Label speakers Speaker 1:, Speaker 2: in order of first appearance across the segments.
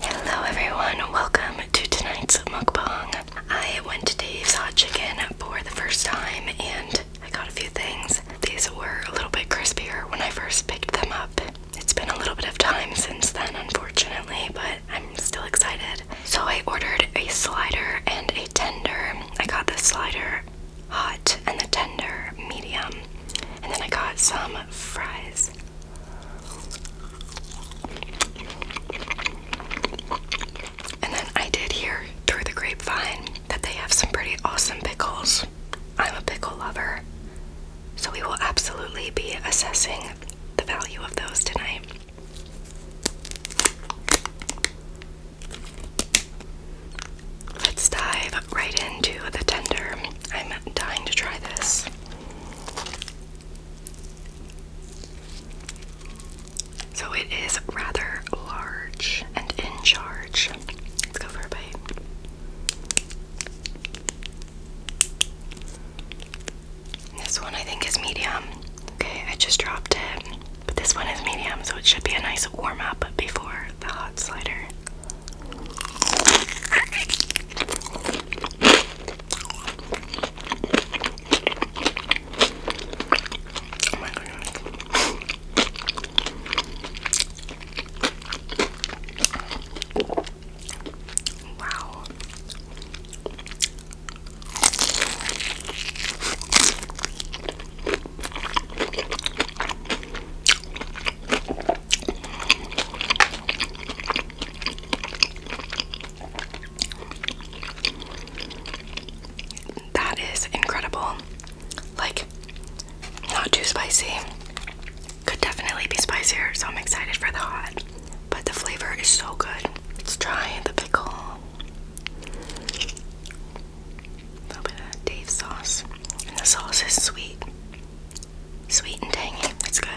Speaker 1: Hello everyone, welcome to tonight's mukbang. I went to Dave's Hot Chicken for the first time and I got a few things. These were a little bit crispier when I first picked them up. It's been a little bit of time since then, unfortunately, but I'm still excited. So I ordered a slider and a tender. I got the slider hot and the tender medium. And then I got some fries. And then I did hear through the grapevine that they have some pretty awesome pickles. I'm a pickle lover. So we will absolutely be assessing the value of those tonight. Let's dive right into the tender. I'm dying to try this. So it is rather large and in charge. Let's go for a bite. This one I think is medium. Okay, I just dropped it. But this one is medium, so it should be a nice warm up before the hot slider. Oh Wow. That is incredible. Like, not too spicy. Could definitely be spicier, so I'm excited for the hot. But the flavor is so good. Let's try the pickle. A little bit of Dave sauce. And the sauce is sweet. Sweet and tangy. It's good.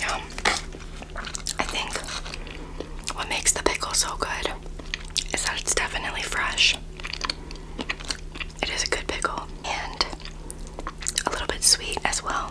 Speaker 1: Now, I think what makes the pickle so good is that it's definitely fresh. It is a good pickle and a little bit sweet as well.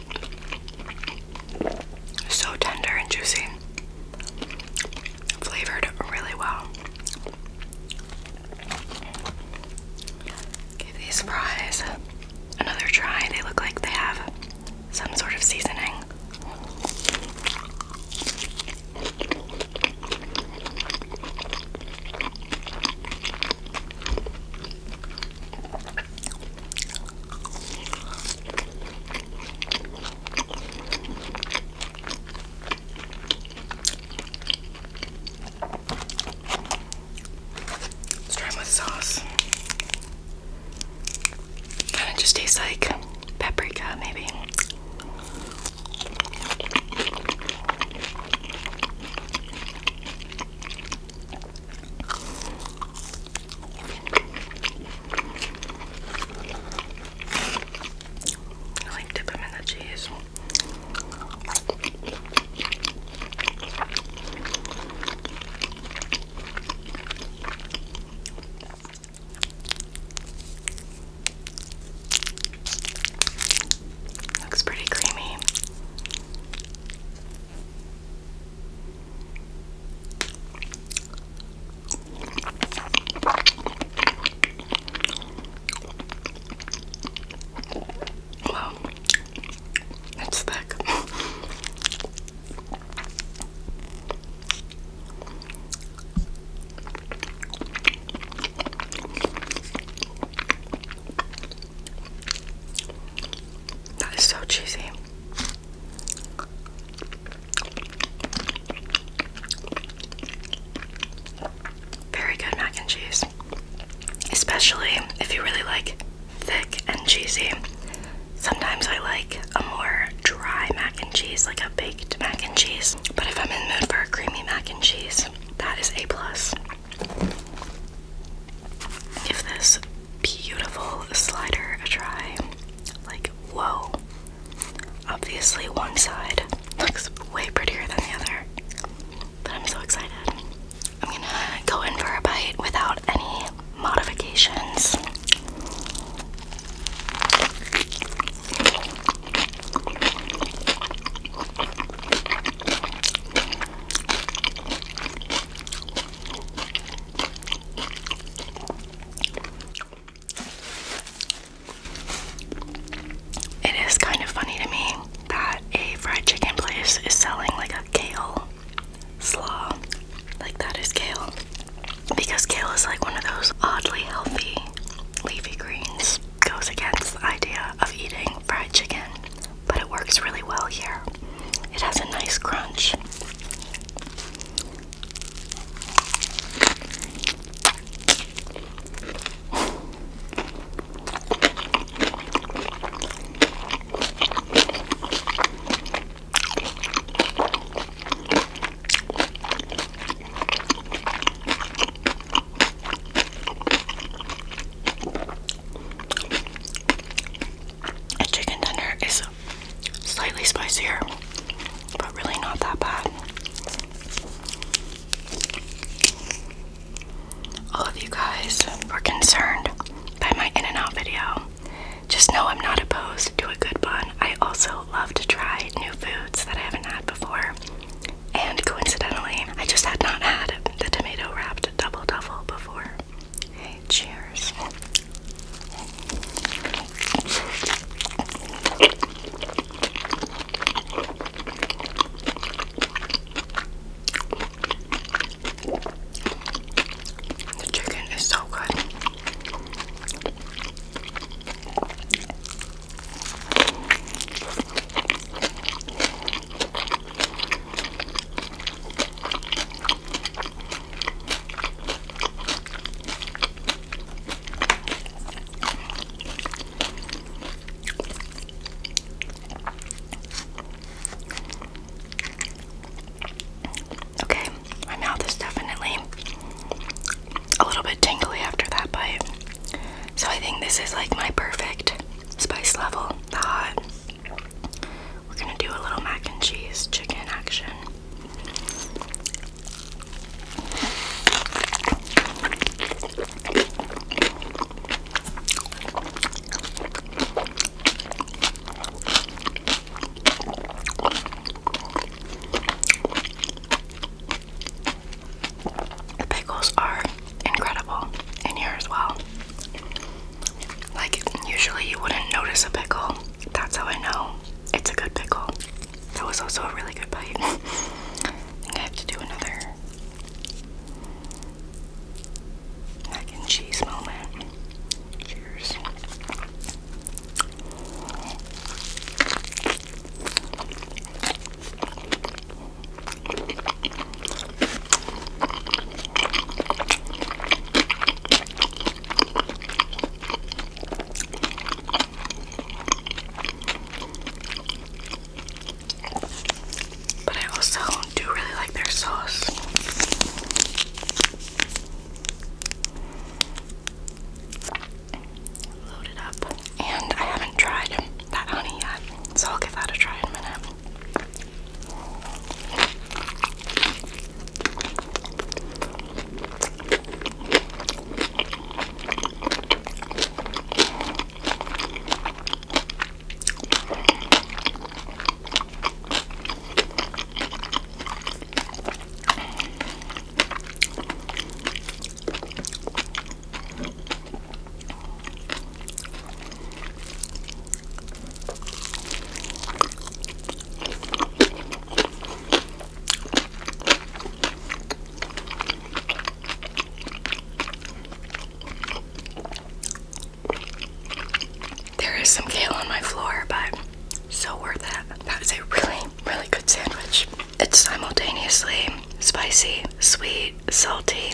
Speaker 1: So tender and juicy. Flavored really well. Give these fries another try. They look like they have some sort of seasoning. Let's try it sauce. Kind of just tastes like paprika, maybe. I like dip them in the cheese. Looks pretty creamy. Wow, it's thick. That is so cheesy. Very good mac and cheese. Especially if you really like thick and cheesy. Sometimes I like a more dry mac and cheese, like a baked mac and cheese. But if I'm in the mood for a creamy mac and cheese, that is a plus. Give this beautiful slider a try. Like, whoa. Obviously, one side looks way prettier than the other, but I'm so excited. I'm gonna go in for a bite without any modifications. It is kind of funny to me that a fried chicken place is selling like a kale slaw. Like that is kale. Because kale is like one of those oddly healthy leafy greens goes against the idea of eating fried chicken, but it works really well here. It has a nice crunch. A chicken tender is slightly spicier, but really not that bad. All of you guys were concerned by my in and out video. Just know I'm not opposed to a good bun. I also love to try new foods that I haven't had before. And coincidentally, I just had not had the tomato wrapped double duffel before. Hey, cheers. The chicken is so good. Okay, my mouth is definitely a little bit tingly after that bite. So I think this is like my perfect spice level. The hot. We're gonna do a little mac and cheese chicken action. The pickles are incredible in here as well. Like, usually you wouldn't notice a pickle. That's how I know it's a good pickle. That was also a really good bite. I have to do another mac and cheese moment. Cheers. But I also do really like their sauce load up. And I haven't tried that honey yet, so I'll give that a try in a minute. There is some kale on my floor, but so worth it. That is a really really good sandwich. It's simultaneously spicy, sweet, salty.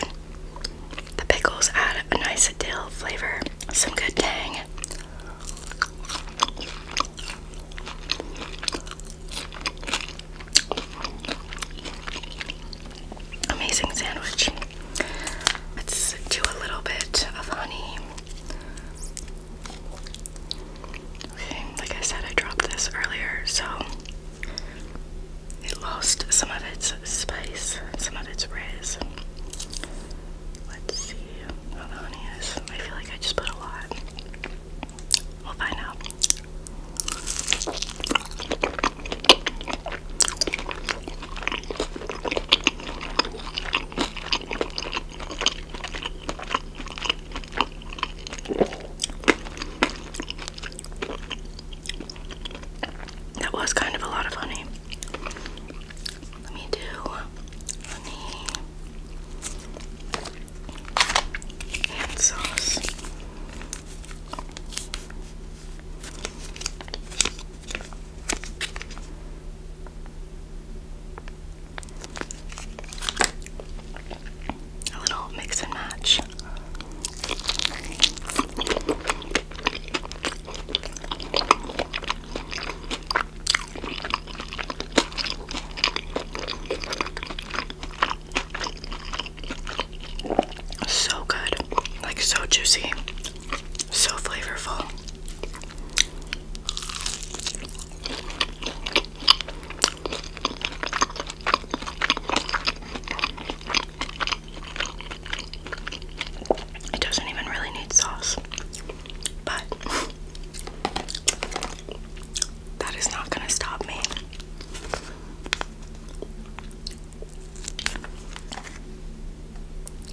Speaker 1: The pickles add a nice dill flavor, some good tang. Amazing sandwich. Let's do a little bit of honey. Okay, like I said, I dropped this earlier, so it lost some of its spice, some of its rizz. Let's see how the honey is. I feel like I just put a lot. We'll find out. That was kind of a lot of honey. Let me do honey and sauce. A little mix and match. So good, like so juicy, so flavorful. It doesn't even really need sauce, but that is not going to stop me.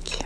Speaker 1: Cute.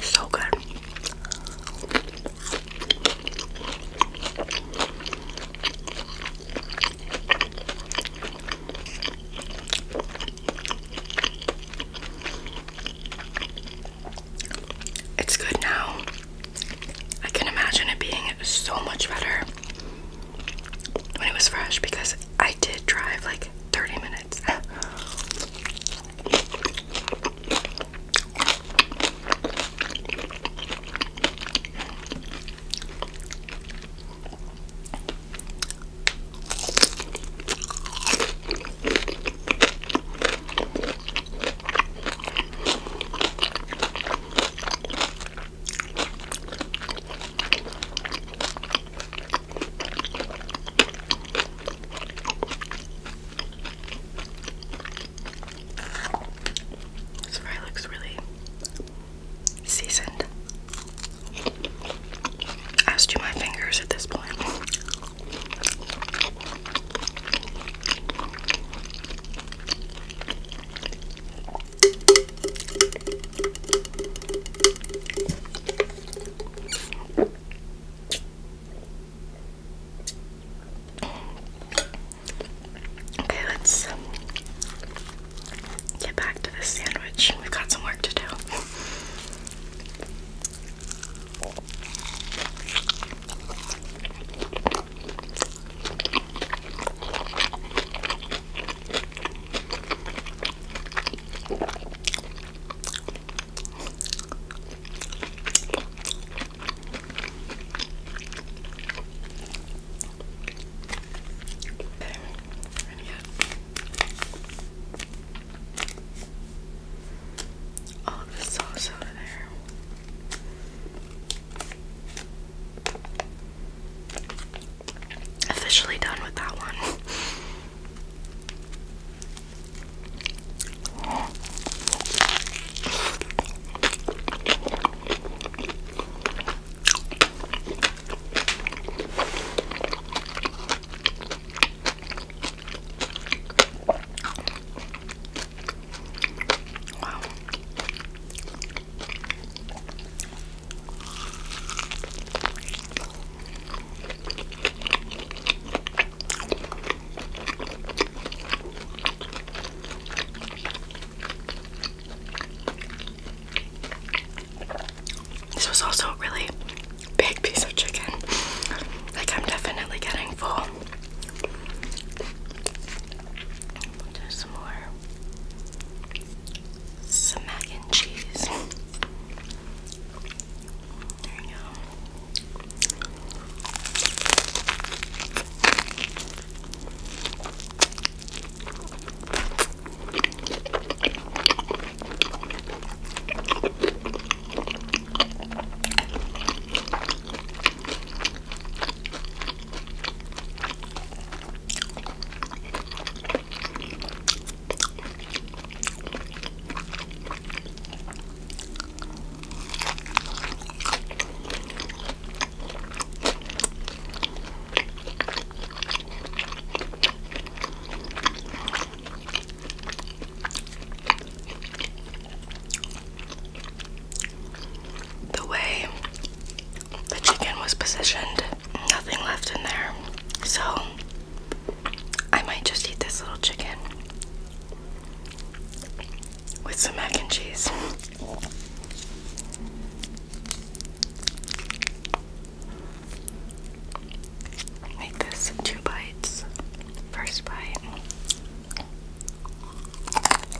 Speaker 1: So good. It's good now. I can imagine it being so much better when it was fresh because I did drive like 30 minutes. This fry looks really seasoned. i As do my fingers at this point. Okay, let's get back to this sandwich. We've got some work to do. Okay, we're gonna get all of the sauce out of there officially done with that one. This was also a really big piece of chicken. Like, I'm definitely getting full. do some more some mac and cheese. There you go. The way the chicken was positioned nothing left in there. So I might just eat this little chicken with some mac and cheese. Make this two bites. First bite.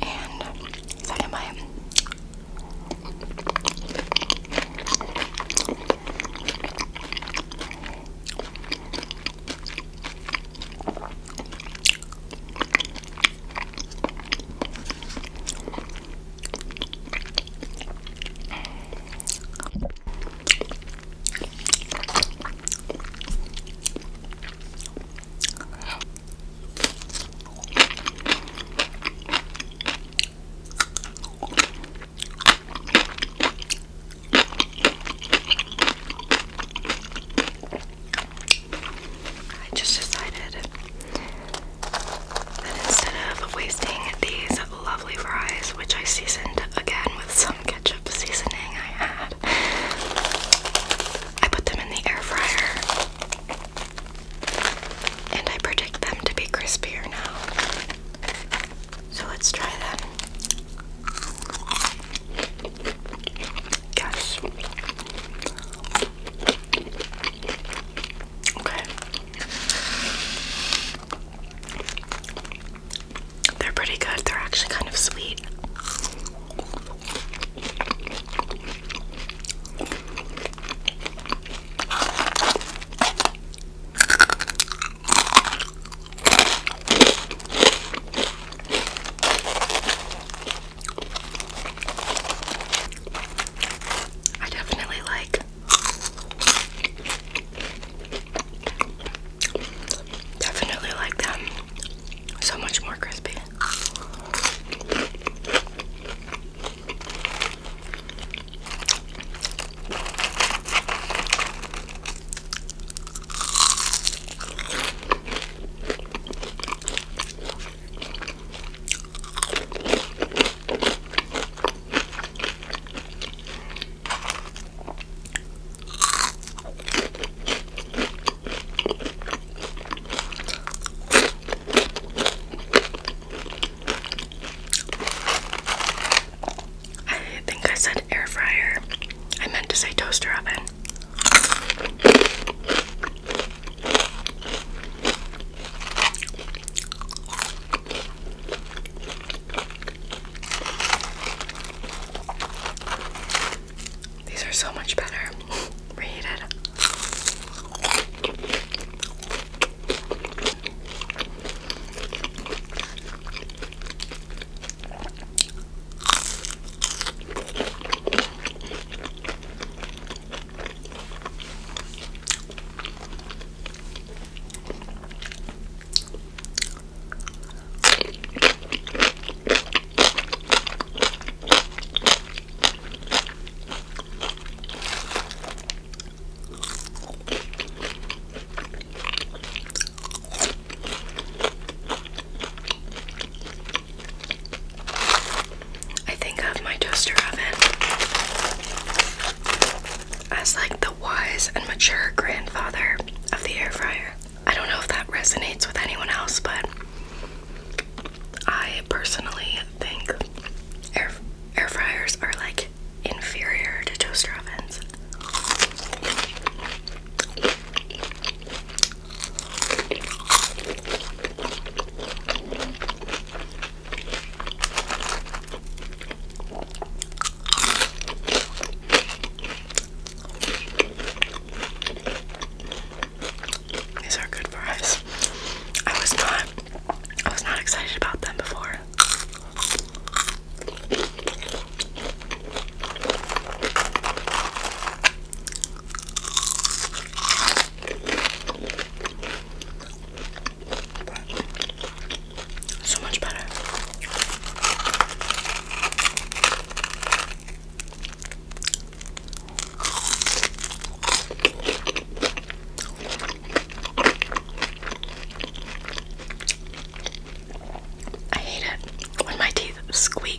Speaker 1: And second bite. I just decided that instead of wasting these lovely fries, which I seasoned again with some ketchup seasoning I had, I put them in the air fryer. And I predict them to be crispier now. So let's try them. Yes. Okay. They're pretty good. They're actually kind of sweet. I definitely like definitely like them so much more crispy. I think I said air fryer. I meant to say toaster oven. These are so much better. Reheated. I think of my toaster oven as like the wise and mature grandfather of the air fryer. I don't know if that resonates with anyone else, but I personally think air, fryers are like inferior to toaster ovens. These are good fries. I was not I was not excited about them before. so much better. I hate it when my teeth squeak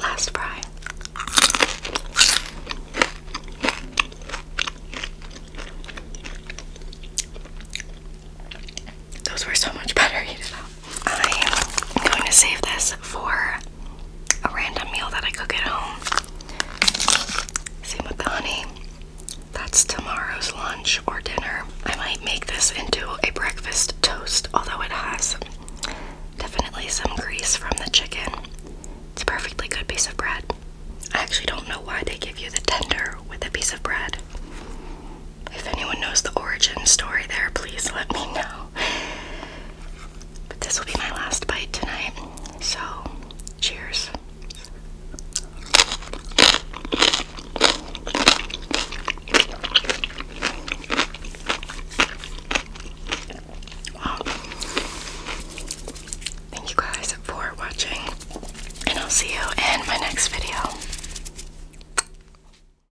Speaker 1: Last fry. Those were so much better I'm going to save this for a random meal that I cook at home. Same with the honey. That's tomorrow's lunch or dinner. I might make this into a breakfast toast, although it has definitely some grease from the chicken. It's a perfectly good piece of bread. I actually don't know why they give you the tender with a piece of bread. If anyone knows the origin story there, please let me know. But this will be my last bite tonight. So, cheers. Thank you guys for watching, and I'll see you in my next video.